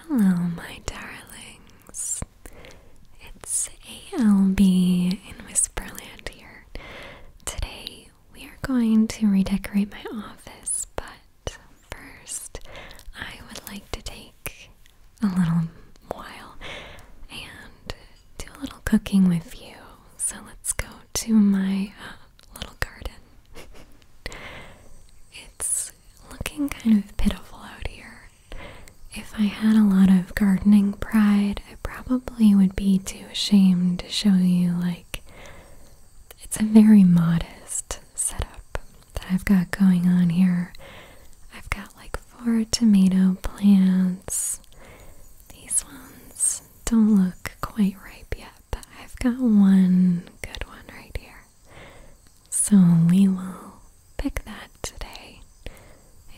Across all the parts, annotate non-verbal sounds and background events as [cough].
Hello, my darlings. It's ALB in Whisperland here. Today we are going to redecorate my office, but first I would like to take a little while and do a little cooking with you. So let's go to my uh, little garden. It's looking kind of pitiful out here. If I had a lot of gardening pride, I probably would be too ashamed to show you, like, it's a very modest setup that I've got going on here. I've got like four tomato plants. These ones don't look quite ripe yet, but I've got one good one right here. So we will pick that today.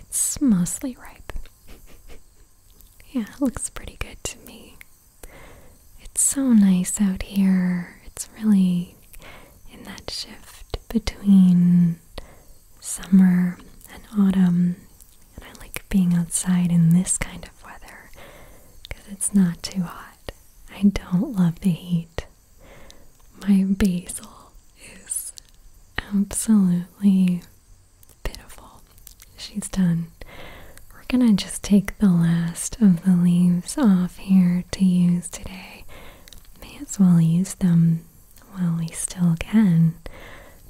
It's mostly ripe. [laughs] yeah, it looks pretty good to me. It's so nice out here. It's really in that shift between summer and autumn. And I like being outside in this kind of weather because it's not too hot. I don't love the heat. My basil is absolutely pitiful. She's done. We're gonna just take the last of the leaves off here to use today. May as well use them while we still can.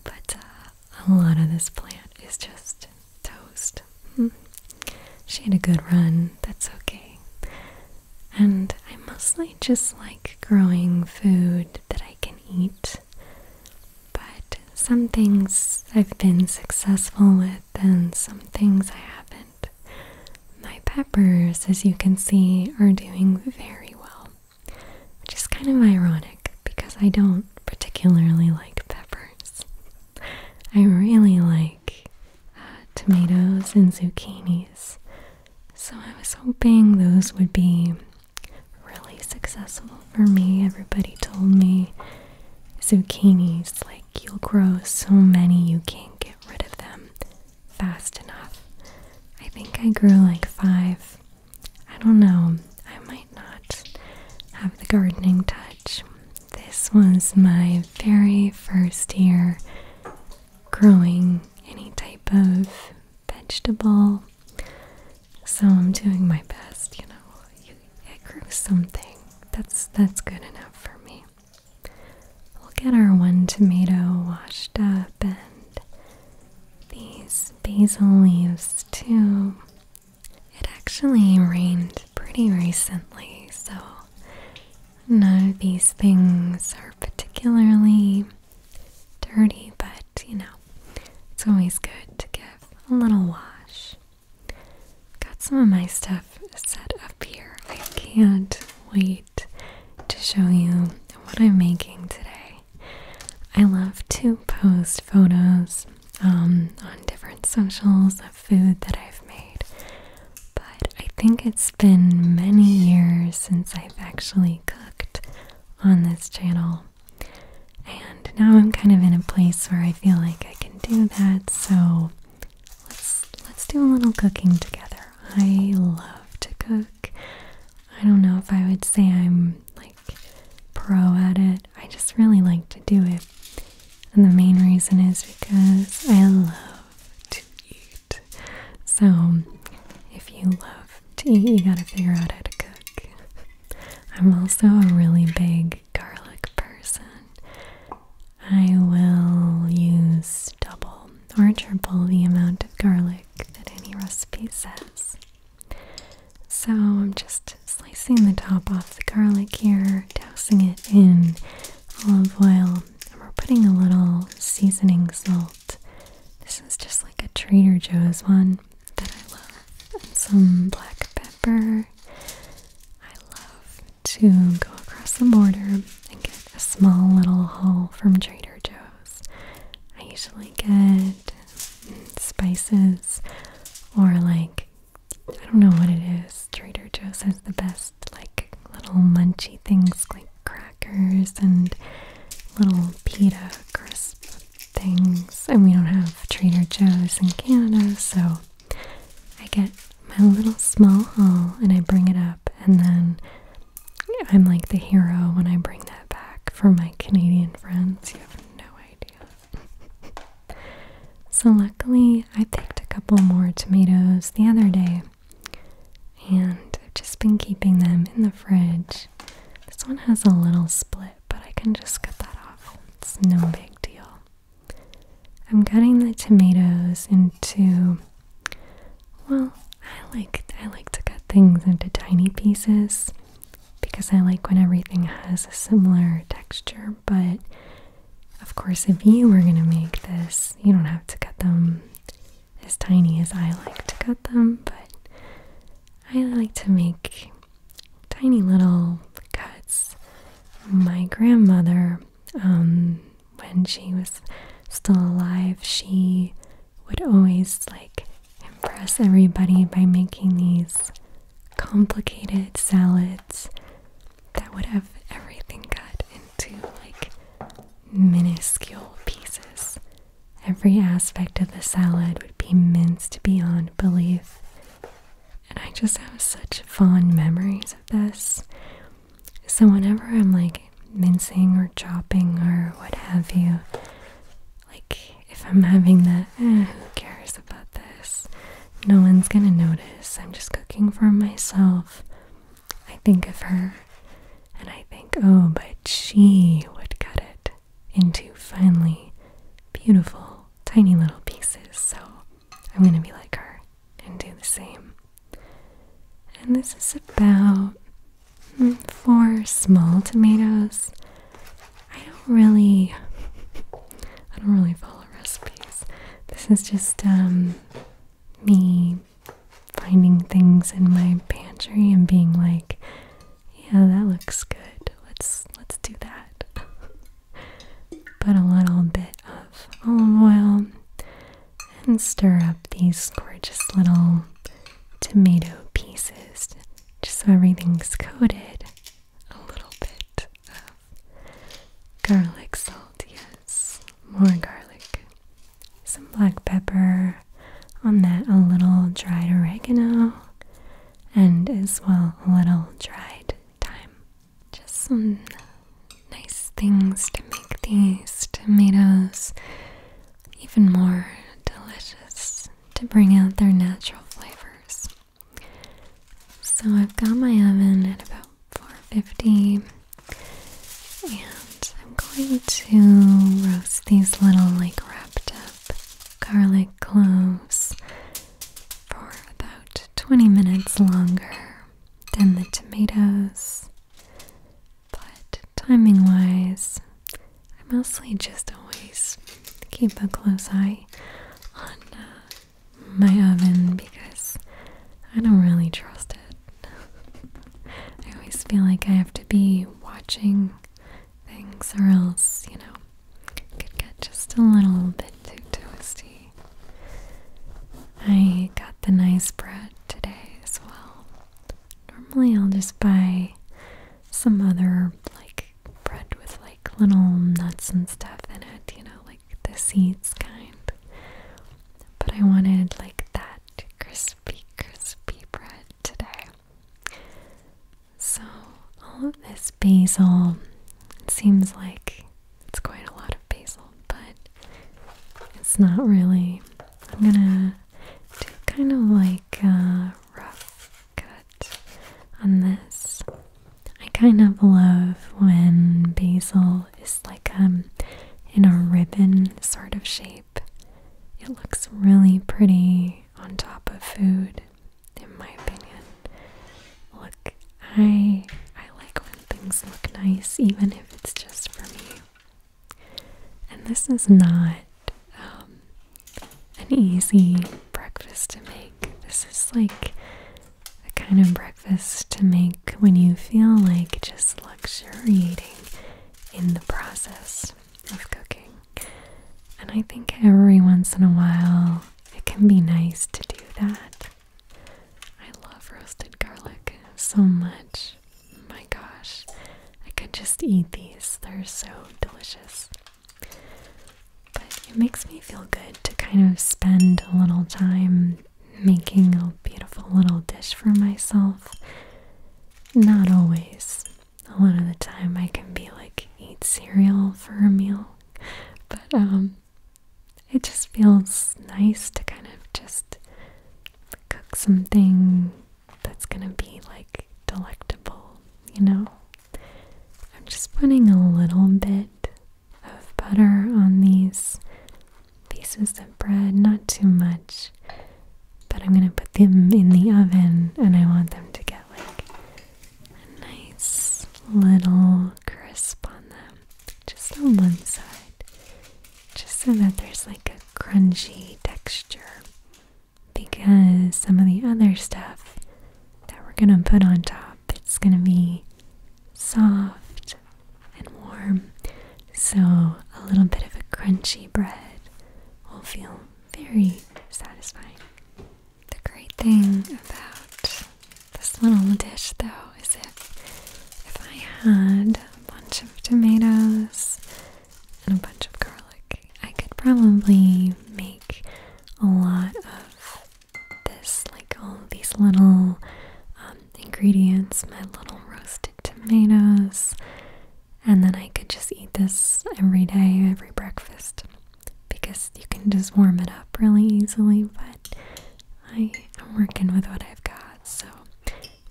But uh, a lot of this plant is just toast. Hmm. She had a good run. That's okay. And I mostly just like growing food that I can eat. But some things I've been successful with, and some things I haven't. My peppers, as you can see, are doing very well, which is kind of ironic because I don't particularly like peppers. I really like uh, tomatoes and zucchinis. So I was hoping those would be really successful for me. Everybody told me zucchinis, like you'll grow so many you can't get rid of them fast enough. I think I grew like five. I don't know. I might not have the gardening touch. This was my very first year growing any type of vegetable. So I'm doing my best, you know. You, it grew something. That's that's good enough for me. We'll get our one tomato washed up and these basil leaves too. It actually rained pretty recently, so None of these things are particularly dirty, but you know, it's always good to give a little wash. Got some of my stuff set up here. I can't wait to show you what I'm making today. I love to post photos um, on different socials food that I've made. But I think it's been many years since I've actually cooked on this channel. And now I'm kind of in a place where I feel like I can do that, so let's let's do a little cooking together. I love to cook. I don't know if I would say I'm like pro at it. I just really like to do it. And the main reason is because I love to so, if you love to eat, you gotta figure out how to cook. I'm also a really big garlic person. I will use double or triple the amount of garlic that any recipe says. So I'm just slicing the top off the garlic here, dousing it in olive oil, and we're putting a little seasoning salt. This is just like a Trader Joe's one that I love. And some black pepper. I love to go across the border and get a small little haul from Trader Joe's. I usually get spices or like I don't know what it is. Trader Joe's has the best like little munchy things like crackers and little pita crisp things. And we don't have Trader Joe's in Canada, so I get my little small haul and I bring it up, and then I'm like the hero when I bring that back for my Canadian friends. You have no idea. [laughs] so, luckily, I picked a couple more tomatoes the other day and I've just been keeping them in the fridge. This one has a little split, but I can just cut that off. It's no big deal. I'm cutting the tomatoes into well, I like I like to cut things into tiny pieces because I like when everything has a similar texture, but of course if you were going to make this, you don't have to cut them as tiny as I like to cut them, but I like to make tiny little cuts. My grandmother, um, when she was still alive, she would always like impress everybody by making these complicated salads that would have everything cut into like minuscule pieces. Every aspect of the salad would be minced beyond belief. And I just have such fond memories of this. So, whenever I'm like mincing or chopping or what have you, like if I'm having that, eh, who cares about this? No one's gonna notice. I'm just cooking for myself. I think of her and I think, oh, but she would cut it into finely beautiful, tiny little pieces. So I'm going to be like her and do the same. And this is about hmm, four small tomatoes. I don't really, I don't really follow recipes. This is just um, me finding things in my pantry and being like, yeah, that looks good. Let's let's do that. [laughs] Put a little bit of olive oil and stir up these gorgeous little tomato pieces just so everything's coated. A little bit of garlic salt, yes. More garlic some black pepper, on that a little dried oregano, and as well a little dried thyme. Just some nice things to make these tomatoes even more delicious to bring out their natural flavors. So I've got my oven at about 450 and I'm going to roast these little like wrapped up garlic cloves for about 20 minutes longer than the tomatoes but timing wise I mostly just always keep a close eye on uh, my oven because I don't really trust it [laughs] I always feel like I have to be watching things, or else, you know, it could get just a little bit too toasty. I got the nice bread today as well. Normally, I'll just buy some other, like, bread with, like, little nuts and stuff in it, you know, like the seeds kind. But I wanted, like, that crispy, crispy bread today. So, all of this basil seems like it's quite a lot of basil, but it's not really. I'm gonna do kind of like a rough cut on this. I kind of love when basil it's like um, in a ribbon sort of shape. It looks really pretty on top of food, in my opinion. Look, I I like when things look nice, even if it's just for me. And this is not um, an easy breakfast to make. This is like the kind of breakfast to make when you feel like just luxuriating in the process of cooking. And I think every once in a while it can be nice to do that. I love roasted garlic so much. My gosh, I could just eat these. They're so delicious. But it makes me feel good to kind of spend a little time making a beautiful little dish for myself. Not always. A lot of the time I can be like eat cereal for a meal. But um it just feels nice to kind of just cook something that's gonna be like delectable, you know? I'm just putting a little bit of butter on these pieces of bread, not too much. But I'm gonna put them in the oven and I want them to get like a nice little crisp on them, just on one side, just so that there's like a crunchy texture. Because some of the other stuff that we're gonna put on top, it's gonna be soft and warm. So, a little bit of a crunchy bread will feel very satisfying. The great thing about this little dish, though, is if, if I had a bunch of tomatoes and a bunch of garlic, I could probably make a lot of this, like all these little um, ingredients, my little roasted tomatoes, and then I could just eat this every day, every breakfast, because you can just warm it up really easily. But I am working with what I've got, so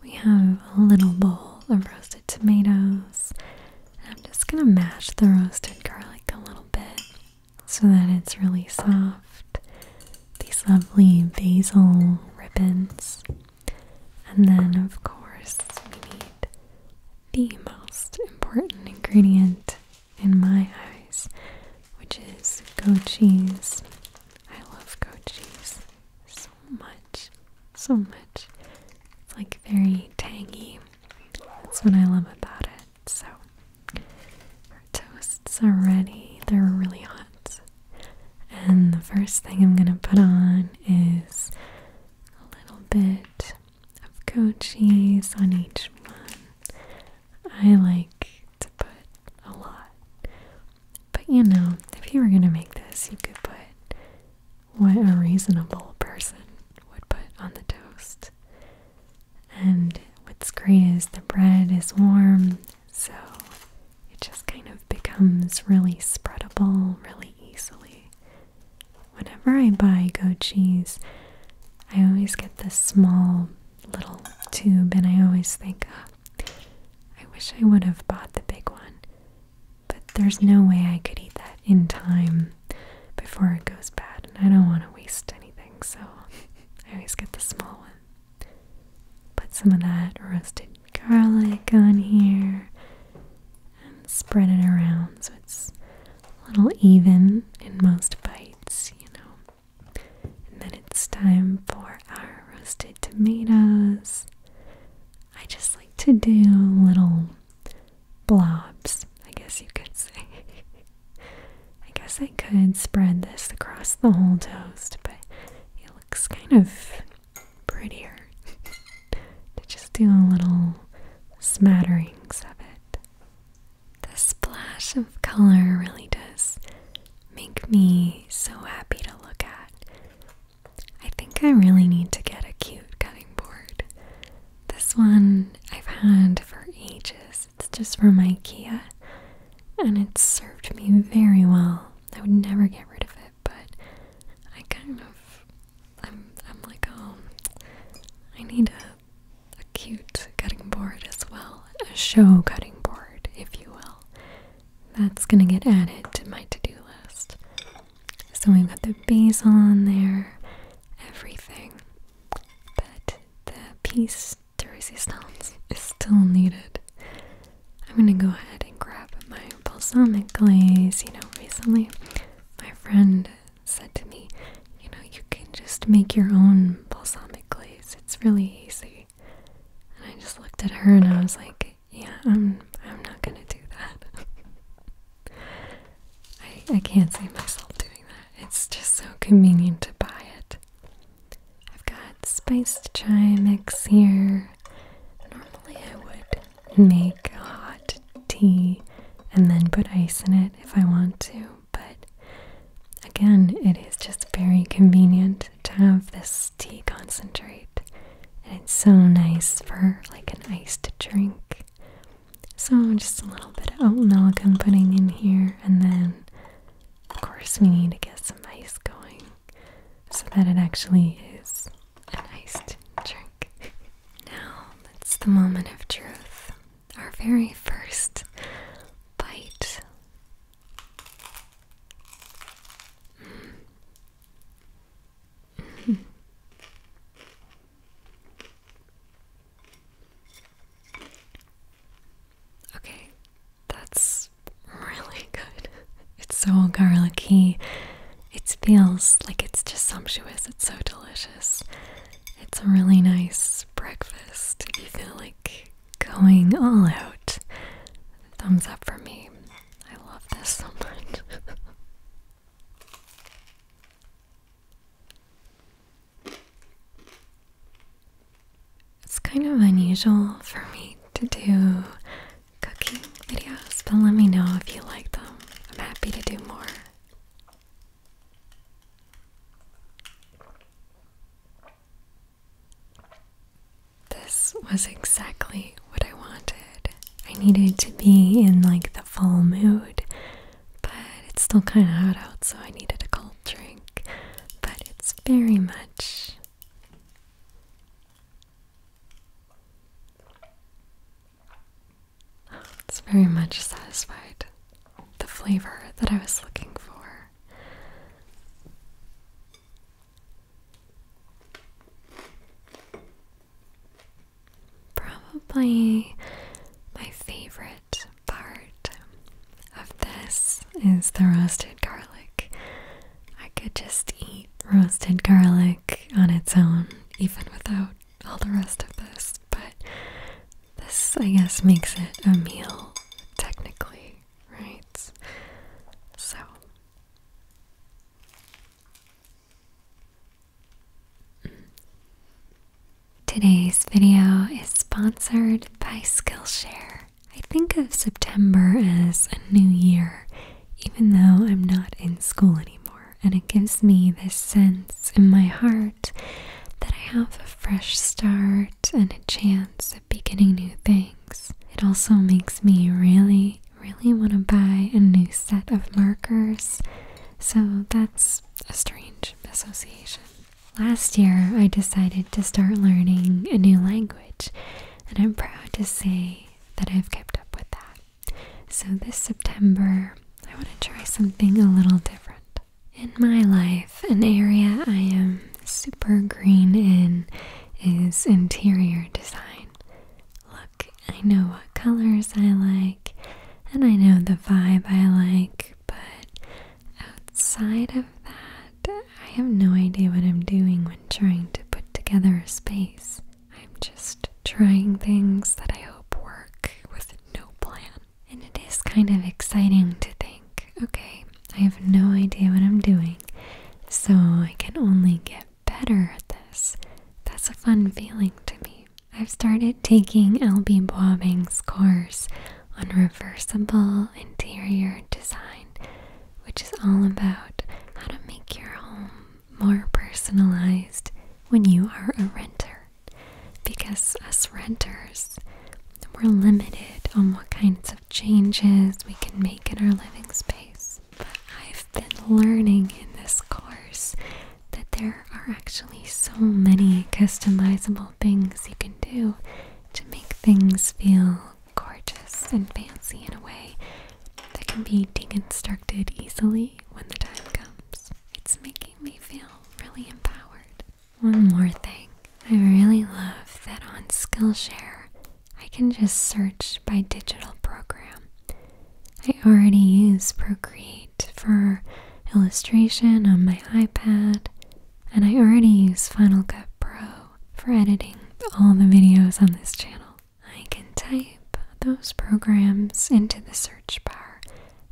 we have a little bowl of roasted tomatoes. I'm just gonna mash the roasted garlic a little bit so that it's really soft. These lovely basil ribbons. And then, of course, we need the most important ingredient in my eyes, which is goat cheese. I love goat cheese so much, so much. It's like very tangy. That's what I love about it. So, our toasts are ready. They're really hot. And the first thing I'm going to put on is a little bit of goat cheese on each one. I like to put a lot. But you know, if you were going to make this, you could put what a reasonable person would put on the toast. And what's great is the bread is warm so it just kind of becomes really spreadable really easily. Whenever I buy goat cheese, I always get this small little tube, and I always think, oh, I wish I would have bought the big one, but there's no way I could eat that in time before it goes bad, and I don't want to waste anything, so [laughs] I always get the small one. Put some of that roasted garlic on here and spread it around so it's a little even in most bites, you know. And then it's time for our roasted tomatoes. I just like to do little blobs, I guess you could [laughs] say. I guess I could spread this across the whole toast, but it looks kind of prettier [laughs] to just do a little smatterings of it. The splash of color really does make me so happy to look at. I think I really need to get a cute cutting board. This one I've had for ages. It's just from IKEA and it's served me very well. I would never get rid of it but I kind of I'm I'm like, oh I need a a cute cutting board as well. A show cutting board, if you will. That's gonna get added to my to-do list. So we've got the basil on there, everything. But the piece de resistance is still needed. I'm gonna go ahead and grab my balsamic glaze. You know, recently my friend said to me, you know, you can just make your own balsamic glaze. It's really easy. And I just looked at her and I was like, yeah, I'm I'm not gonna do that. [laughs] I I can't see myself doing that. It's just so convenient to buy it. I've got spiced chai mix here. Normally, I would make hot tea and then put ice in it if I want to, but again, it is just very convenient to have this tea concentrate, and it's so nice for like an iced drink. So, just a little bit of oat milk I'm putting in here, and then, of course, we need to get some ice going so that it actually is an iced drink. now, it's the moment of truth. Our very first bite. [laughs] okay, that's really good. [laughs] It's so garlicky. It feels like it's just sumptuous. It's so delicious. It's a really nice breakfast. If you feel like going all out, thumbs up for me. I love this so much. [laughs] It's kind of unusual for me to do cooking videos, but let me know if you like them. I'm happy to do more. This was exactly what I wanted. I needed to be in like the fall mood, but it's still kind of hot out, so I needed a cold drink. But it's very much it's very much satisfied the flavor that I was looking for. Probably my favorite part of this is the roasted garlic. I could just eat roasted garlic on its own, even without all the rest of this, but this, I guess, makes it a meal, technically, right? So. Today's video is sponsored by Skillshare. I think of September as a new year even though I'm not in school anymore. And it gives me this sense in my heart that I have a fresh start and a chance of beginning new things. It also makes me really, really want to buy a new set of markers. So that's a strange association. Last year, I decided to start learning a new language, and I'm proud to say that I've kept up with that. So, this September, I want to try something a little different. In my life, an area I am super green in is interior design. Look, I know what colors I like and I know the vibe I like, but outside of that, I have no idea what I'm doing when trying to put together a space. I'm just trying things that I hope work with no plan. And it is kind of exciting to think okay, I have no idea what I'm doing, so I can only get better at this. That's a fun feeling to me. I've started taking LB Bobbing's course on reversible interior design, which is all about how to make your home more personalized when you are a renter because as renters we're limited on what kinds of changes we can make in our living space. But I've been learning in this course that there are actually so many customizable things you can do to make things feel gorgeous and fancy in a way that can be deconstructed easily when the time comes. It's making me feel really empowered. One more thing. I really love that on Skillshare, I can just search by digital program. I already use Procreate for illustration on my iPad, and I already use Final Cut Pro for editing all the videos on this channel. I can type those programs into the search bar,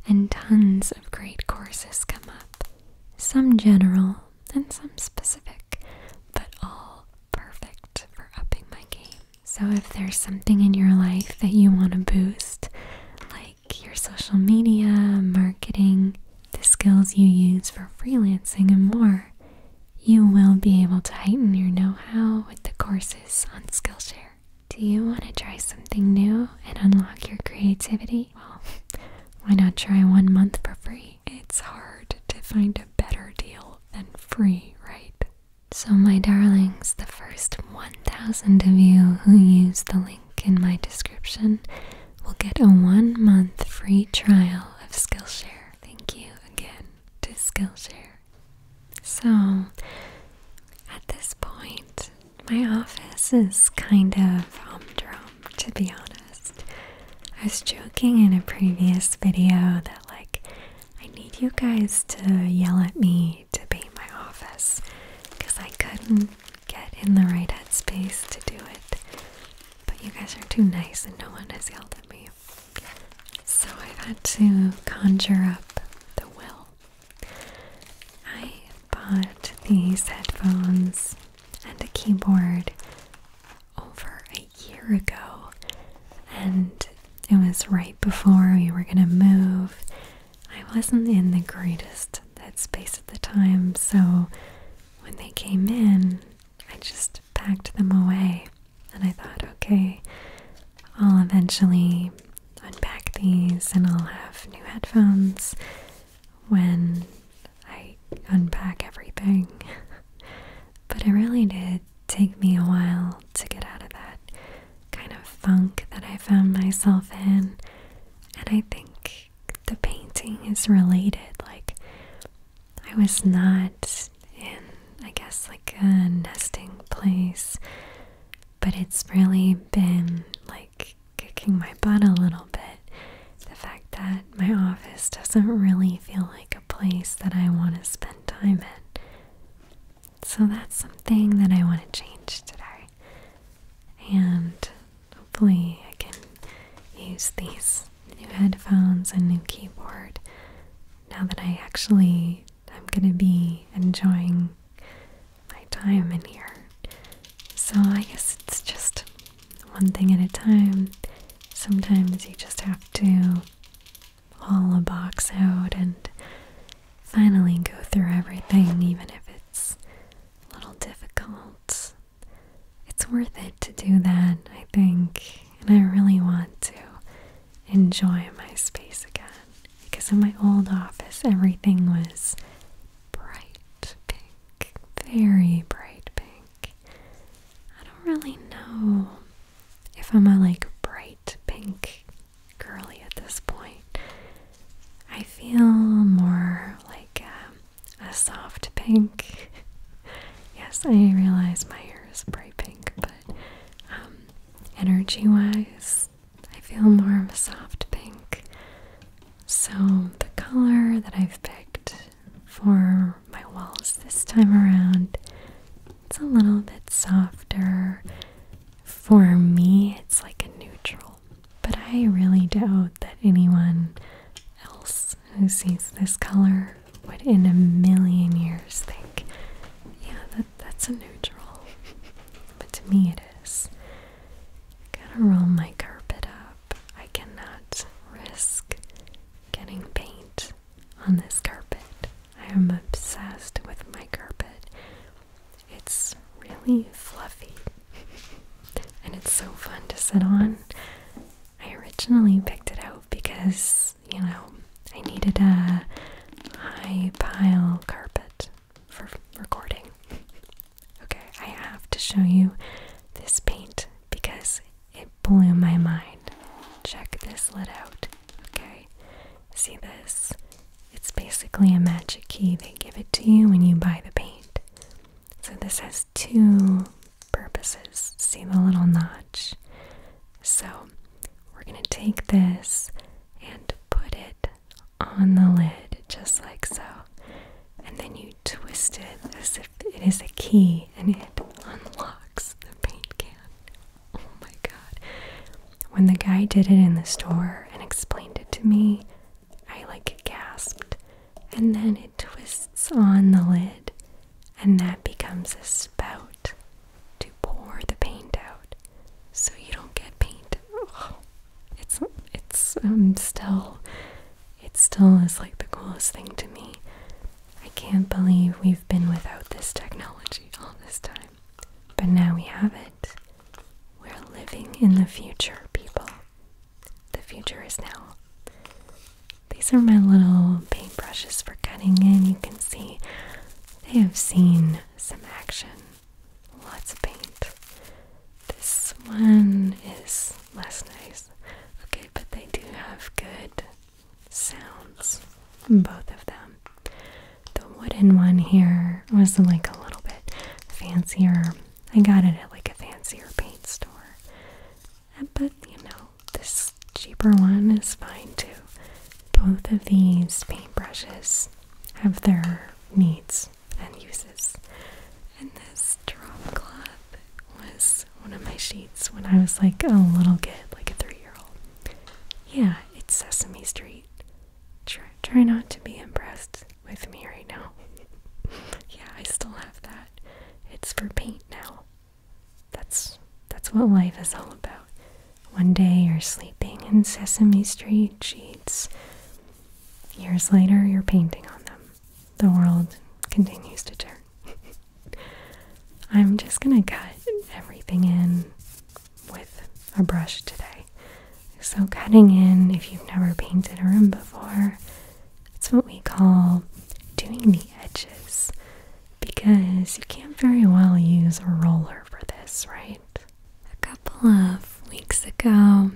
and tons of great courses come up. Some general and some specific, but all perfect for upping my game. So, if there's something in your life that you want to boost, like your social media, marketing, the skills you use for freelancing, and more, you will be able to heighten your know how with the courses on Skillshare. Do you want to try something new and unlock your creativity? Well, [laughs] why not try one month for free? It's hard to find a better deal than free, right? So, my darlings, the first 1,000 of you who use the link in my description will get a one month free trial of Skillshare. Thank you again to Skillshare so, at this point, my office is kind of humdrum, to be honest. I was joking in a previous video that, like, I need you guys to yell at me to paint my office because I couldn't get in the right headspace to do it. But you guys are too nice and no one has yelled at me. So i had to conjure up the will. I bought these headphones and a keyboard over a year ago, and it was right before we were gonna move. I wasn't in the greatest headspace at the time, so when they came in, I just packed them away. And I thought, okay, I'll eventually unpack these and I'll have new headphones when I unpack everything. [laughs] but it really did take me a while to get out of that kind of funk that I found myself in. And I think the painting is related. Like, I was not in, I guess, like a nesting place, but it's really been like kicking my butt a little bit. The fact that my office doesn't really feel like a place that I want to spend time in. So that's something that I want to change today. And hopefully, I can use these new headphones and new keyboard now that I actually I'm gonna be enjoying my time in here. So I guess it's just one thing at a time. Sometimes you just have to haul a box out and finally go through everything, even if it's a little difficult. It's worth it to do that, I think, and I really want to enjoy my space again. Because in my old office, everything was bright pink, very bright pink. I don't really know if I'm a like bright pink girly at this point. I feel more like um, a, soft pink. [laughs] yes, I realize my hair is bright pink, but um, energy wise, I feel more of a soft pink. So, the color that I've picked for my walls this time around, it's a little bit softer. For me, it's like a neutral, but I really doubt that anyone else who sees this color never would in a million years think, yeah, that, that's a neutral. but to me it is. Gotta roll my carpet up. I cannot risk getting paint on this carpet. I am obsessed with my carpet. It's really fluffy. and it's so fun to sit on. I originally picked it out because you know, I needed a high pile carpet for recording. Okay, I have to show you this paint because it blew my mind. Check this lid out. Okay, see this? It's basically a magic key. They give it to you when you buy the paint. So this has two purposes. See the little nod? So we're going to take this and put it on the lid, just like so. And then you twist it as if it is a key and it unlocks the paint can. Oh my god. When the guy did it in the store and explained it to me, I like gasped. And then it twists on the lid and that becomes a spout to pour the paint out so you don't get paint. it's it's um, still it still is like the coolest thing to me. I can't believe we've been without this technology all this time. But now we have it. We're living in the future, people. The future is now. These are my little paint brushes for cutting in. You can see they have seen some action, lots of paint. This one is less nice. Okay, but they do have good sounds, both of them. The wooden one here was like a little bit fancier. I got it at like a fancier paint store. But you know, this cheaper one is fine too. Both of these paintbrushes have their needs and uses. And this drop cloth was one of my sheets when I was like a little kid, like a three year old. Yeah, it's Sesame Street. Try, try not to be impressed with me right now. [laughs] yeah, I still have that. It's for paint now. That's that's what life is all about. One day you're sleeping in Sesame Street sheets. Years later you're painting on them. The world continues to turn. [laughs] I'm just gonna cut everything in with a brush today. So cutting in, if you've never painted a room before, that's what we call doing the edges because you can't very well use a roller for this, right? A couple of weeks ago,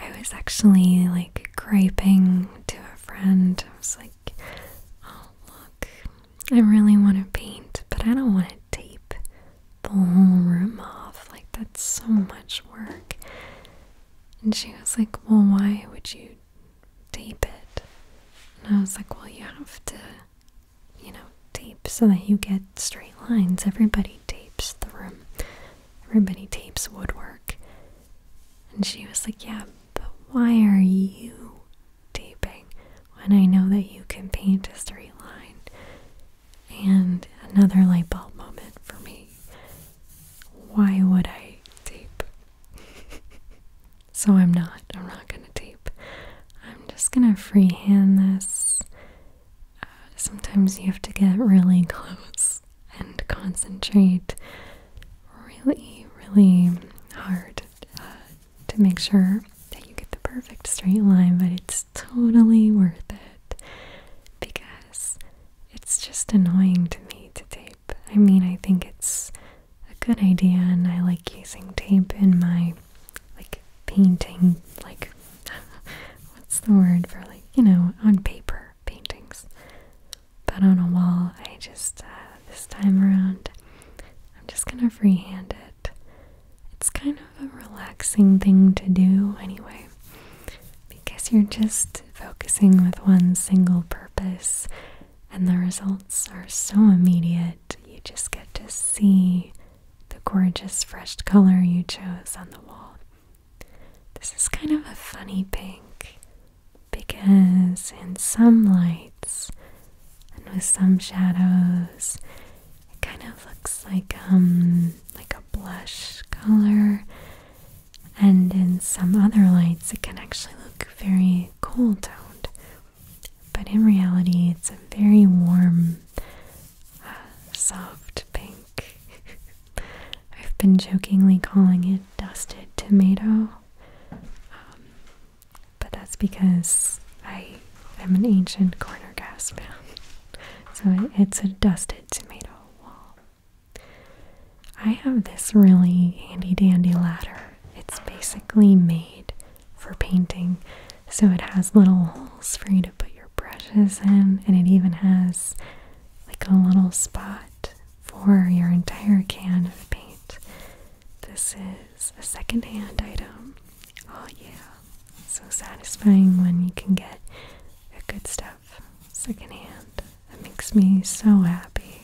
I was actually like griping to a friend. I was like, oh, look, I really want to paint, but I don't want to tape the whole room off. Like, that's so much work. And she was like, well, why would you tape it? And I was like, well, you have to you know, tape so that you get straight lines. Everybody tapes the room. Everybody tapes woodwork. And she was like, yeah, but why are you taping when I know that you can paint a straight line? And another light bulb moment for me. Why would I tape? [laughs] So I'm not. I'm not going to tape. I'm just going to freehand this. Uh, sometimes you have to get really close and concentrate really, really hard uh, to make sure that you get the perfect straight line, but it's totally worth it because it's just annoying to me to tape. I mean, I think it's a good idea and I like using tape in my like painting like [laughs] what's the word for like you know on paper paintings but on a wall I just uh, this time around I'm just gonna freehand it it's kind of a relaxing thing to do anyway because you're just focusing with one single purpose and the results are so immediate. You just get to see the gorgeous fresh color you chose on the wall. This is kind of a funny pink because in some lights and with some shadows it kind of looks like um like a blush color and in some other lights it can actually look very cool toned but in reality, it's a very warm, soft pink. [laughs] I've been jokingly calling it dusted tomato, um, but that's because I am an ancient corner gas fan, so it's a dusted tomato wall. I have this really handy dandy ladder. It's basically made for painting. So it has little holes for you to put your brushes in, and it even has like a little spot for your entire can of paint. This is a secondhand item. Oh, yeah. so satisfying when you can get good stuff secondhand. That makes me so happy.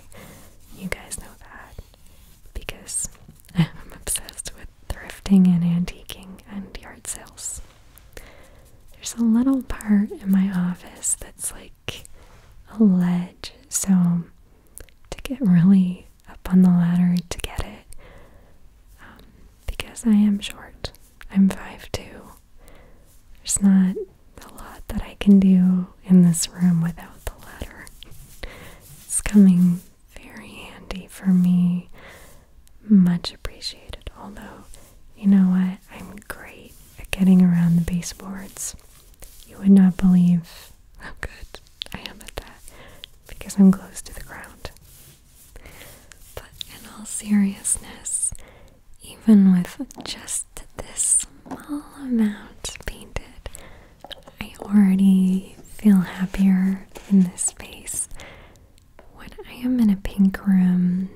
You guys know that because [laughs] I'm obsessed with thrifting and antiquing and yard sales. There's a little part in my office that's like a ledge, so to get really up on the ladder to get it, um, because I am short, I'm five two. There's not a lot that I can do in this room without the ladder. It's coming very handy for me. Much appreciated. Although, you know what? I'm great at getting around the baseboards. You would not believe how good I am at that because I'm close to the ground. But in all seriousness, even with just this small amount painted, I already feel happier in this space. When I am in a pink room,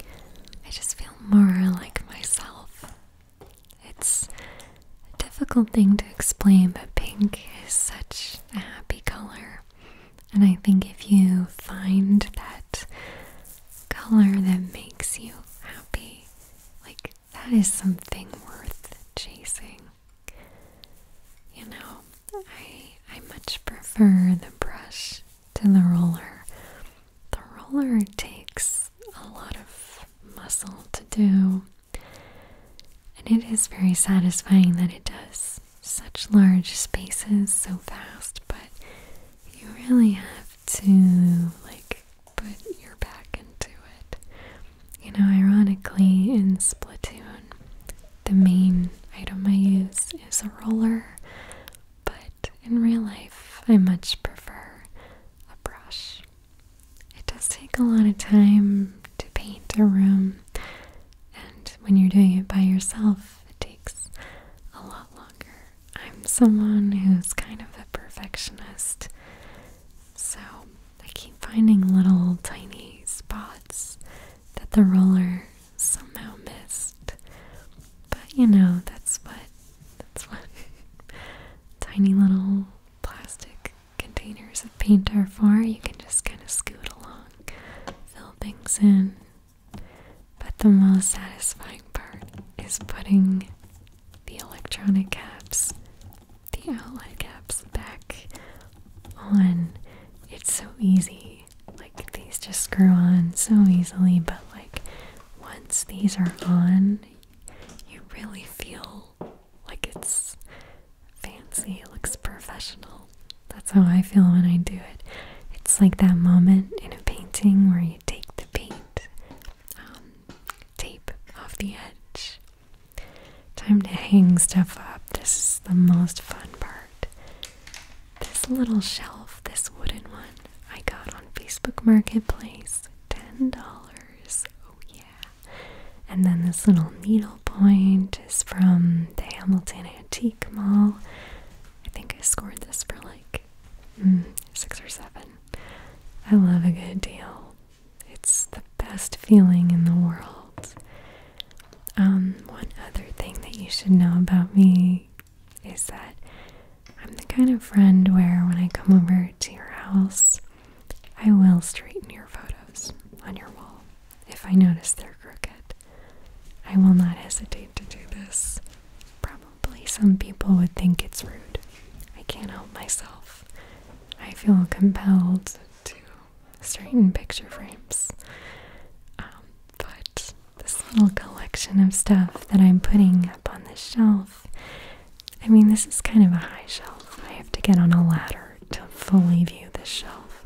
I just feel more like myself. It's a difficult thing to explain, but pink is such a happy color. And I think if you find that color that makes you happy, like that is something worth chasing. You know, I I much prefer the brush to the roller. The roller takes a lot of muscle to do. And it is very satisfying that it does such large spaces so fast, but you really have to like put your back into it. You know, ironically, in Splatoon, the main item I use is a roller, but in real life, I much prefer a brush. It does take a lot of time to paint a room, and when you're doing it by yourself, it takes a lot longer. I'm someone who's kind of a perfectionist, so I keep finding little tiny spots that the roller somehow missed. But you know, that's what that's what [laughs] tiny little plastic containers of paint are for. You can just kind of scoot along, fill things in. But the most satisfying part is putting the electronic caps the outline caps back on. It's so easy. Like these just screw on so easily, but like once these are on, you really feel like it's fancy, it looks professional. That's how I feel when I do it. It's like that moment in a painting where you take the paint um, tape off the edge Time to hang stuff up. This is the most fun part. This little shelf, this wooden one, I got on Facebook Marketplace. $10. Oh, yeah. And then this little needlepoint is from the Hamilton Antique Mall. I think I scored this for like mm, six or seven. I love a good deal. It's the best feeling in the world. Um, one other thing that you should know about me is that I'm the kind of friend where when I come over to your house, I will straighten your photos on your wall if I notice they're crooked. I will not hesitate to do this. Probably some people would think it's rude. I can't help myself. I feel compelled to certain picture frames. Um, but this little collection of stuff that I'm putting up on this shelf, I mean, this is kind of a high shelf. I have to get on a ladder to fully view this shelf.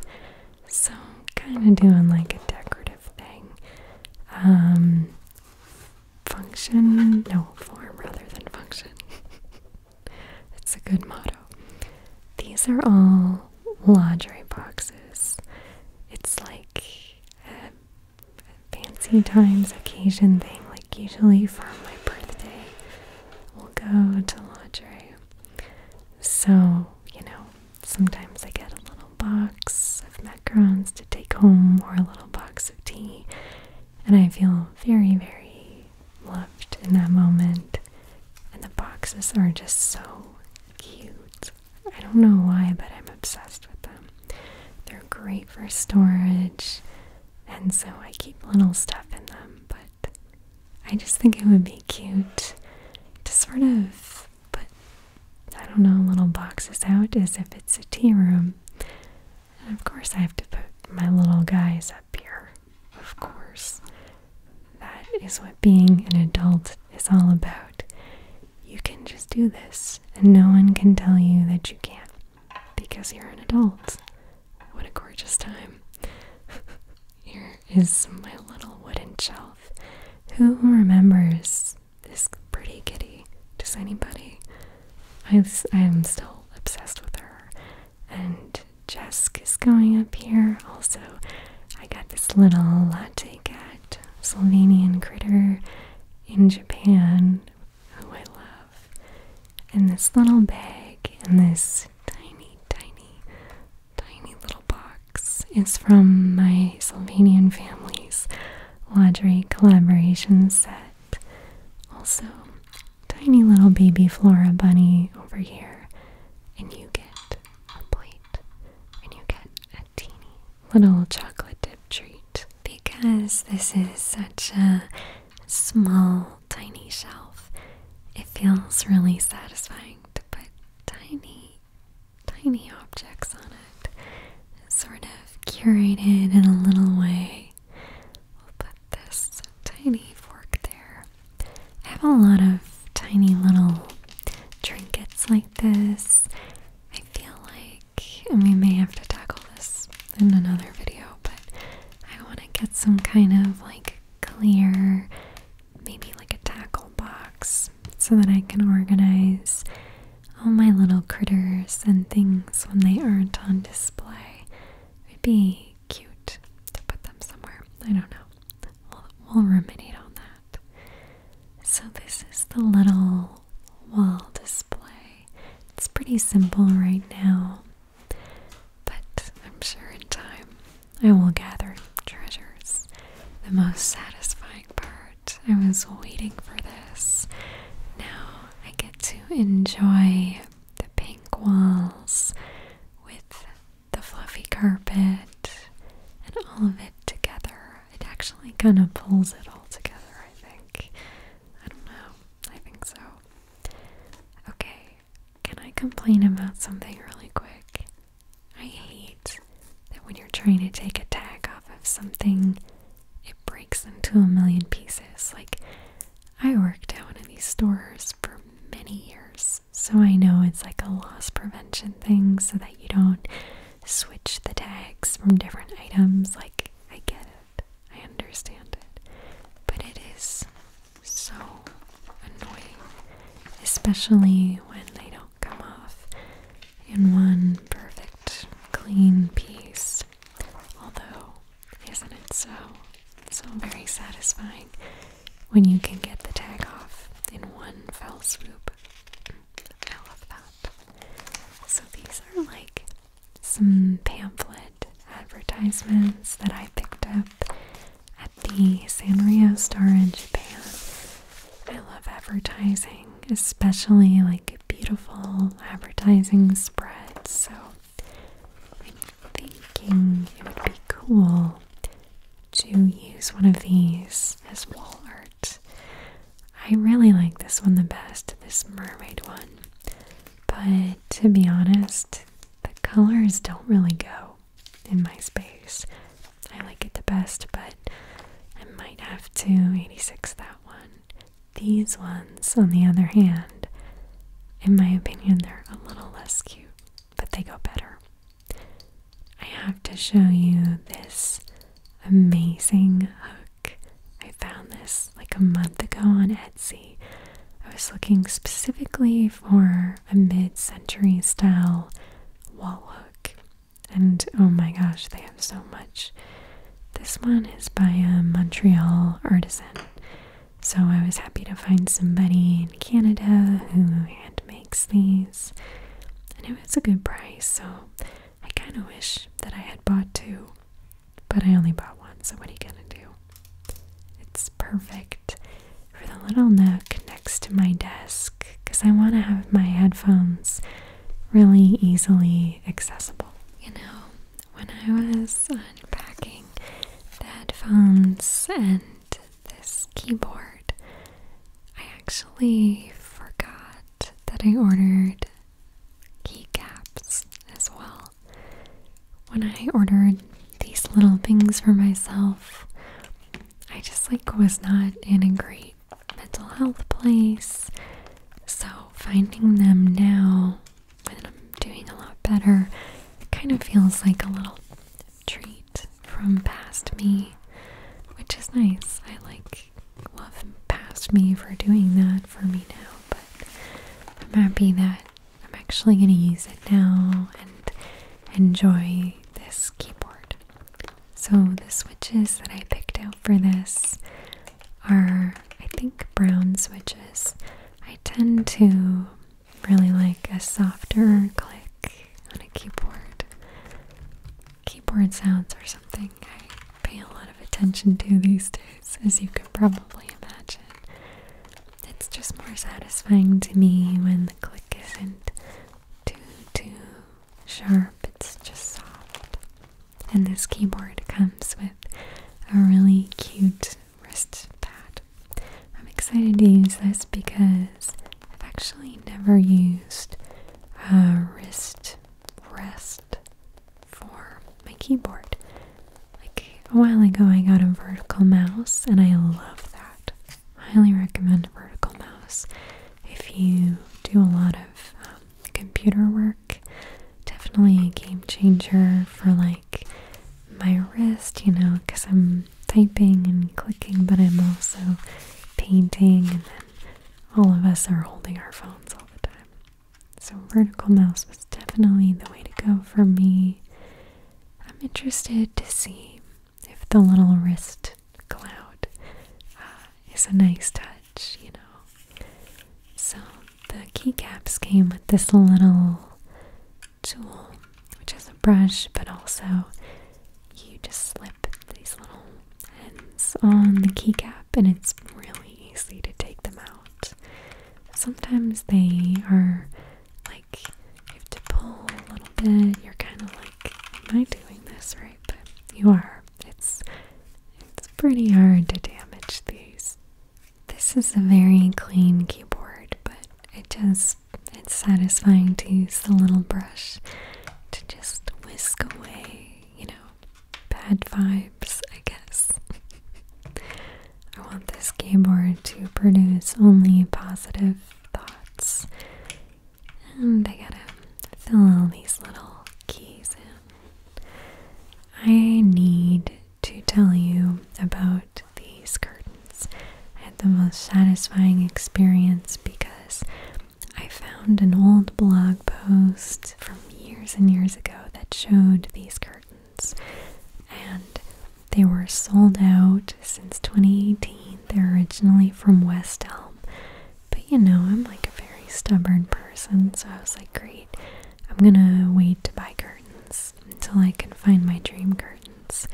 So kind of doing like a decorative thing. Um, function, no, form rather than function. [laughs] It's a good motto. These are all lingerie boxes. It's like a fancy times occasion thing. Like usually for my birthday, we'll go to lingerie. So, you know, sometimes I get a little box of macarons to take home or a little box of tea. And I feel very, very loved in that moment. And the boxes are just so cute. I don't know why, but I'm obsessed with them. They're great for storage, and so I keep little stuff in them, but I just think it would be cute to sort of put, I don't know, little boxes out as if it's a tea room. of course, I have to put my little guys up here of course. That is what being an adult is all about. You can just do this, and no one can tell you that you can't because you're an adult. What a gorgeous time. [laughs] Here is my little wooden shelf. Who remembers this pretty kitty? Does anybody? I, I'm still obsessed with her, and Jesk is going up here. Also, I got this little latte cat, Slovenian critter in Japan, who I love. And this little bag and this tiny, tiny, tiny little box is from my Slovenian family's lingerie collaboration set. Also, tiny little baby Flora bunny over here, and you get a plate, and you get a teeny little chocolate dip treat because this is such a small, tiny shelf. It feels really satisfying to put tiny, tiny objects on it, sort of curated in a little way this tiny fork there. I have a lot of tiny little trinkets like this. I feel like, and we may have to tackle this in another video, but I want to get some kind of like clear, maybe like a tackle box, so that I can organize all my little critters and things when they aren't on display. would be cute to put them somewhere. I don't know. we'll ruminate on that. So, this is the little wall display. It's pretty simple right now, but I'm sure in time I will gather treasures. The most satisfying part. I was waiting for this. Now I get to enjoy the pink walls with the fluffy carpet and all of it together. It actually kind of pulls it all together, I think. I don't know. I think so. Okay, can I complain about something really quick? I hate that when you're trying to take a tag off of something, it breaks into a million pieces. Like, I worked at one of these stores for many years so I know it's like a loss prevention thing so that you don't switch the tags from different items. Like, I get it, I understand it. But it is so annoying, especially when they don't come off in one perfect, clean piece. Although, isn't it so? So very satisfying when you can get the tag off in one fell swoop. I love that. So these are like some pamphlet advertisements that I picked up at the Sanrio store in Japan. I love advertising, especially like beautiful advertising spreads. So I'm thinking it would be cool to use one of these as wall art. I really like this one the best, this mermaid one. But to be honest, the colors don't really go in my space. I like it the best, but I might have to 86 that one. These ones, on the other hand, in my opinion, they're a little less cute but they go better. I have to show you this amazing hook. I found this like a month ago on Etsy. I was looking specifically for a mid century style wall hook, and oh my gosh, they have so much. This one is by a Montreal artisan. So I was happy to find somebody in Canada who hand makes these, and it was a good price. So I kind of wish that I had bought two, but I only bought one. So what are you gonna do? It's perfect for the little nook next to my desk because I want to have my headphones really easily accessible. You know, when I was unpacking the headphones and this keyboard. I actually forgot that I ordered keycaps as well. When I ordered these little things for myself, I just like was not in a great mental health place. So finding them now when I'm doing a lot better, it kind of feels like a little treat from past me, which is nice. I like love past me for doing that for me now, but I'm happy that I'm actually going to use it now and enjoy this keyboard. So the switches that I picked out for this are, I think, brown switches. I tend to really like a softer click on a keyboard. Keyboard sounds or something I pay a lot of attention to these days, as you can probably imagine. It's just more satisfying to me when the click isn't too, too sharp, it's just soft. And this keyboard comes with a really cute wrist pad. I'm excited to use this because I've actually never used a wrist rest for my keyboard. Like a while ago, I got a vertical mouse and I love that. Highly recommend a vertical mouse if you do a lot of um, computer work. Definitely a game changer for like my wrist, you know, because I'm typing and clicking, but I'm also painting, and then all of us are holding our phones all the time. So, vertical mouse was definitely the way to go for me. I'm interested to see if the little wrist cloud uh, is a nice touch, you know. So, the keycaps came with this little tool, which is a brush, but also you just slip these little ends on the keycap and it's really easy to take them out. Sometimes they are like you have to pull a little bit, you're kind of like, Am I doing this right? But you are. It's it's pretty hard to damage these. This is a very clean keyboard, but it does it's satisfying to use the little brush to just whisk away, you know, bad vibes, I guess. [laughs] I want this keyboard to produce only positive thoughts. And I gotta fill all these little keys in. I need to tell you about these curtains. I had the most satisfying experience because I found an old blog post from years and years ago that showed these curtains, and they were sold out since 2018. They're originally from West Elm, but you know, I'm like a very stubborn person, so I was like, great, I'm gonna wait to buy curtains until I can find my dream curtains.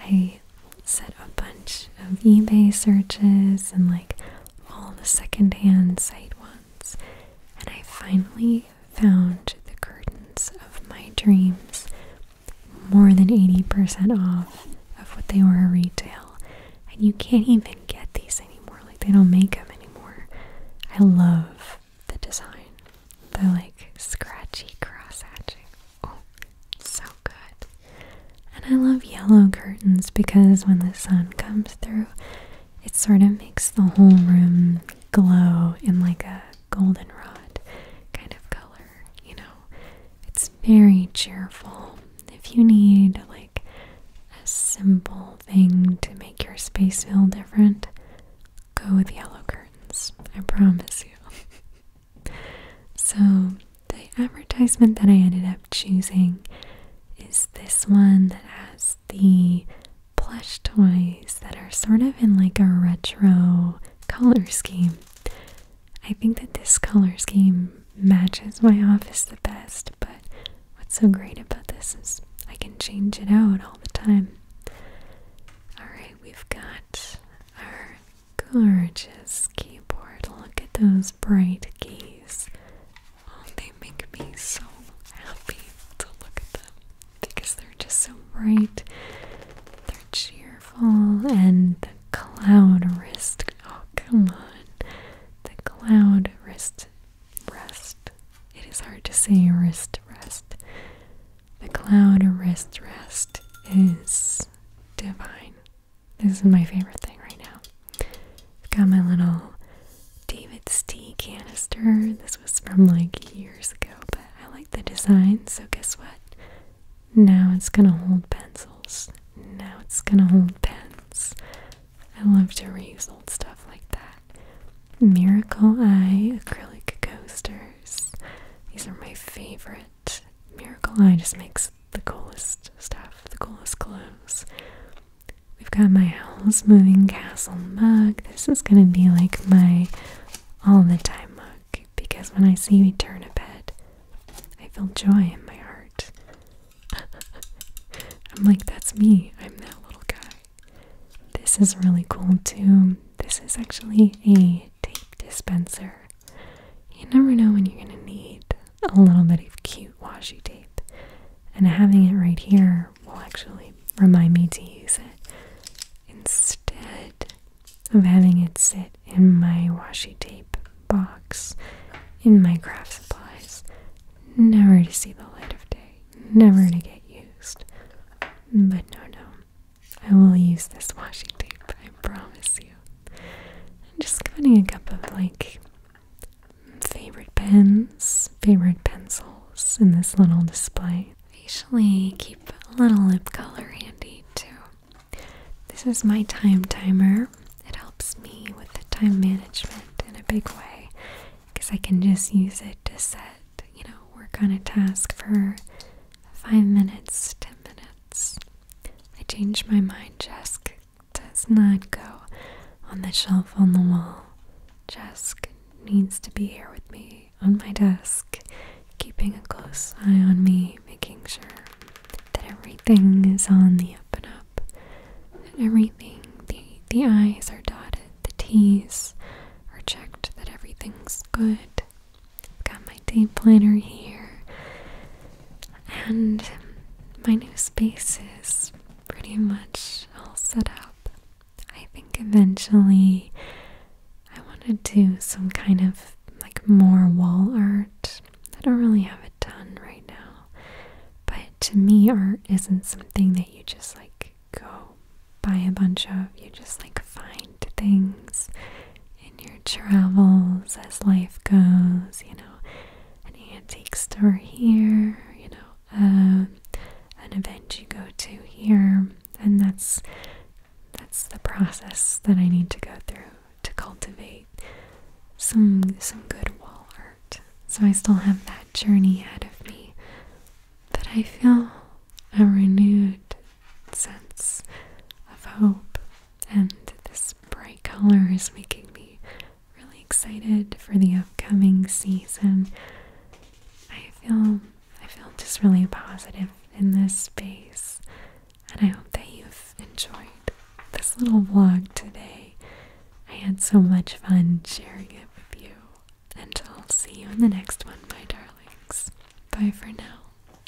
I set a bunch of eBay searches and like all the secondhand site ones, and I finally found the curtains of my dreams more than 80% off of what they were retail. And you can't even get these anymore, like, they don't make them anymore. I love the design, They're like scratchy cross hatching. Oh, so good. And I love yellow curtains because when the sun comes through, it sort of makes the whole room glow in like a goldenrod kind of color, you know. It's very cheerful. If you need like a simple thing to make your space feel different, go with yellow curtains. I promise you. [laughs] So, the advertisement that I ended up choosing is this one that has the plush toys that are sort of in like a retro color scheme. I think that this color scheme matches my office the best, but what's so great about this is I can change it out all the time. Alright, we've got our Gorgeous keyboard. Look at those bright keys. Oh, they make me so happy to look at them because they're just so bright. They're cheerful. And the cloud wrist. Oh, come on. The cloud wrist rest. It is hard to say wrist rest. The cloud wrist rest is divine. This is my favorite thing right now. I've got my little David's tea canister. This was from like years ago, but I like the design, so guess what? Now it's gonna hold pencils. Now it's gonna hold pens. I love to reuse old stuff like that. Miracle Eye acrylic coasters. These are my favorite. Miracle Eye just makes the coolest stuff, the coolest clothes. We've got my owl's Moving Castle mug. This is gonna be like my all the time mug because when I see you turn a bed, I feel joy in my heart. [laughs] I'm like, that's me. I'm that little guy. This is really cool too. This is actually a tape dispenser. You never know when you're going to need a little bit of cute washi tape. And having it right here will actually remind me to use it instead of having it sit in my washi tape box in my craft supplies, never to see the light of day, never to get used. But no, no, I will use this washi tape, I promise you. I'm just cutting a cup of like favorite pens, favorite pencils in this little display. I usually keep a little lip color handy too. This is my time timer. It helps me with the time management in a big way because I can just use it to set, you know, work on a task for five minutes, ten minutes I change my mind. Jesk does not go on the shelf on the wall. Jesk needs to be here with me on my desk, keeping a close eye on me, making sure that everything is on the up and up, that everything, the, the I's are dotted, the T's are checked, that everything's good. I've got my day planner here, and my new space is pretty much all set up. I think eventually I want to do some kind of like more wall art. I don't really have a ton right now, but to me, art isn't something that you just like go buy a bunch of, you just like find important things in your travels as life goes, you know, an antique store here, you know, um, an event you go to here, and that's that's the process that I need to go through to cultivate some some good wall art. So I still have that journey ahead of me, but I feel a renewed sense of hope and this bright color is making me really excited for the upcoming season. I feel I feel just really positive in this space, and I hope that you've enjoyed this little vlog today. I had so much fun sharing it with you, and I'll see you in the next one, my darlings. Bye for now.